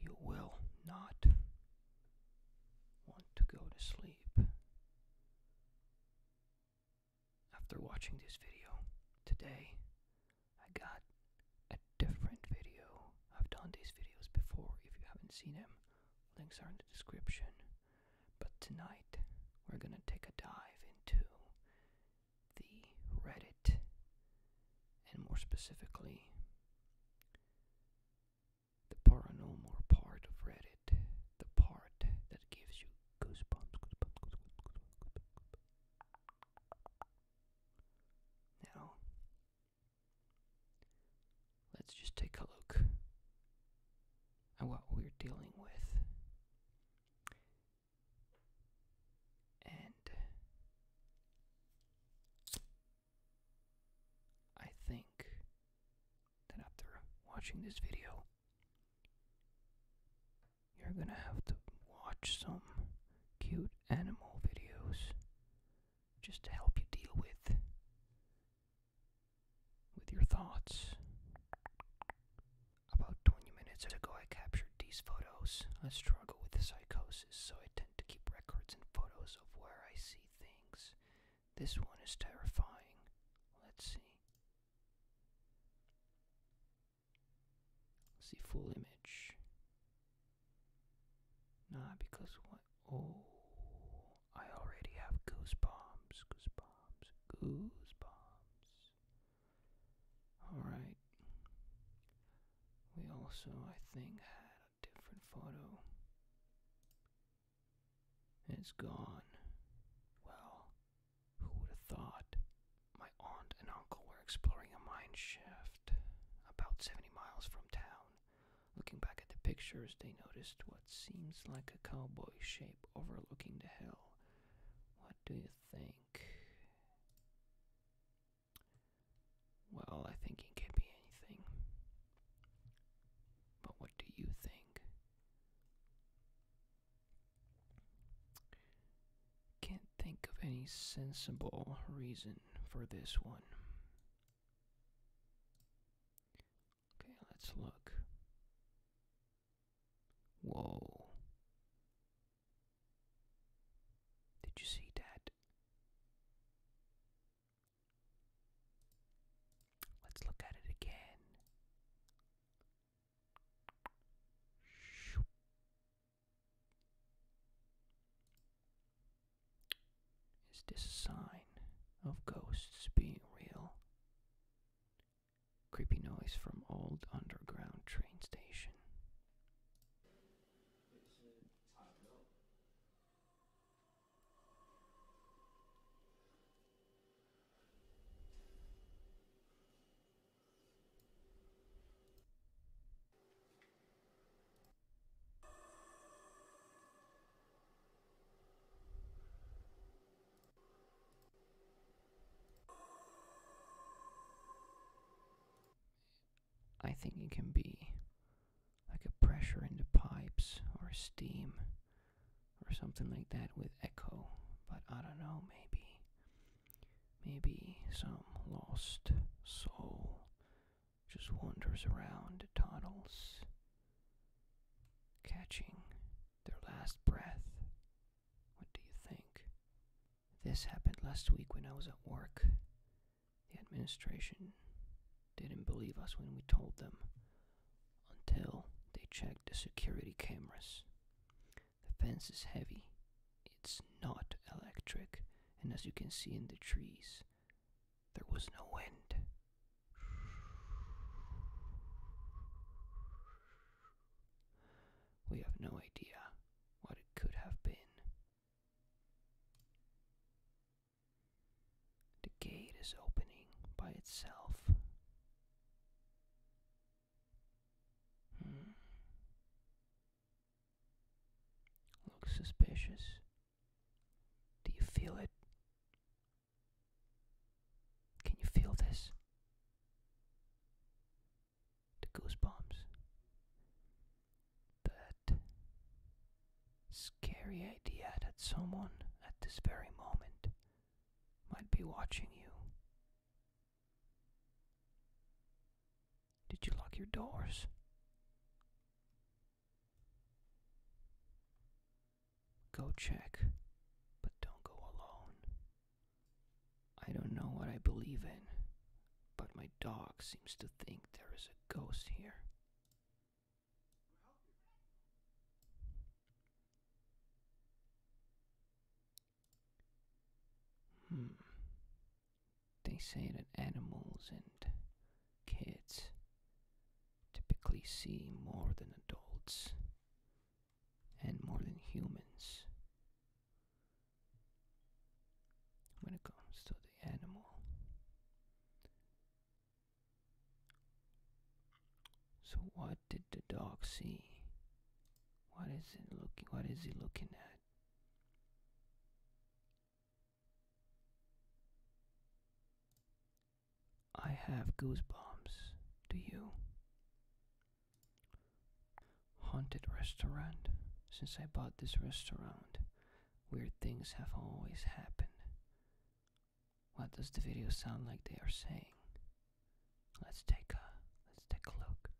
You will not want to go to sleep after watching this video today, I got a different video. I've done these videos before if you haven't seen them. Links are in the description. But tonight, we're gonna take a dive into the Reddit, and more specifically, the paranormal part of Reddit, the part that gives you now, let's just take a look at what we're dealing with. And I think that after watching this video, you're gonna have to watch some cute animal videos just to help you deal with with your thoughts. About 20 minutes ago, I captured these photos. I struggle with psychosis, so I tend to keep records and photos of where I see things. This one is terrifying. Let's see see full image. Nah, because what? Oh, I already have goosebumps, goosebumps, goosebumps. Alright. We also, I think, had a different photo. It's gone. Well, who would have thought? My aunt and uncle were exploring a mine shaft about 70 miles from town. Looking back at the pictures, they noticed what seems like a cowboy shape overlooking the hill. What do you think? Well, I think it could be anything. But what do you think? Can't think of any sensible reason for this one. Okay, let's look. Whoa. Did you see that? Let's look at it again. Is this a sign of ghosts being real? Creepy noise from old underground train station. I think it can be like a pressure in the pipes or steam or something like that with Echo, but I don't know, maybe. Maybe some lost soul just wanders around tunnels, catching their last breath. What do you think? This happened last week when I was at work. The administration didn't believe us when we told them until they check the security cameras. The fence is heavy, it's not electric, and as you can see in the trees, there was no wind. We have no idea what it could have been. The gate is opening by itself. Hmm. Looks suspicious. Do you feel it? Can you feel this? The goosebumps. That scary idea that someone at this very moment might be watching you. Did you lock your doors? Go check, but don't go alone. I don't know what I believe in, but my dog seems to think there is a ghost here. Hmm. They say that animals and kids typically see more than adults and more than humans when it comes to the animal so what did the dog see? What is it looking what is he looking at? I have goosebumps. Do you? Haunted restaurant. Since I bought this restaurant, weird things have always happened. What does the video sound like they are saying? Let's take a let's take a look.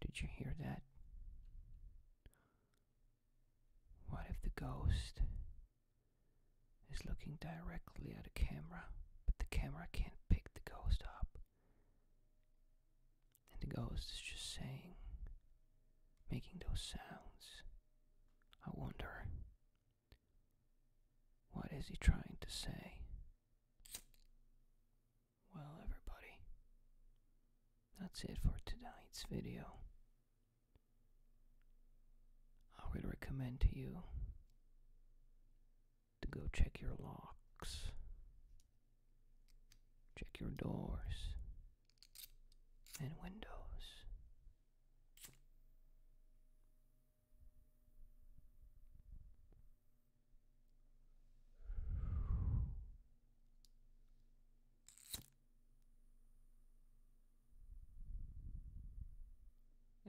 Did you hear that? What if the ghost is looking directly at a camera, but the camera can't pick the ghost up? And the ghost is just saying, making those sounds. I wonder, what is he trying to say? Well, everybody, that's it for tonight's video. I would recommend to you to go check your locks, check your doors and windows.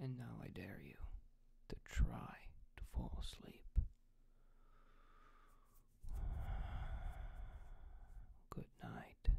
And now I dare you to try to fall asleep. Good night.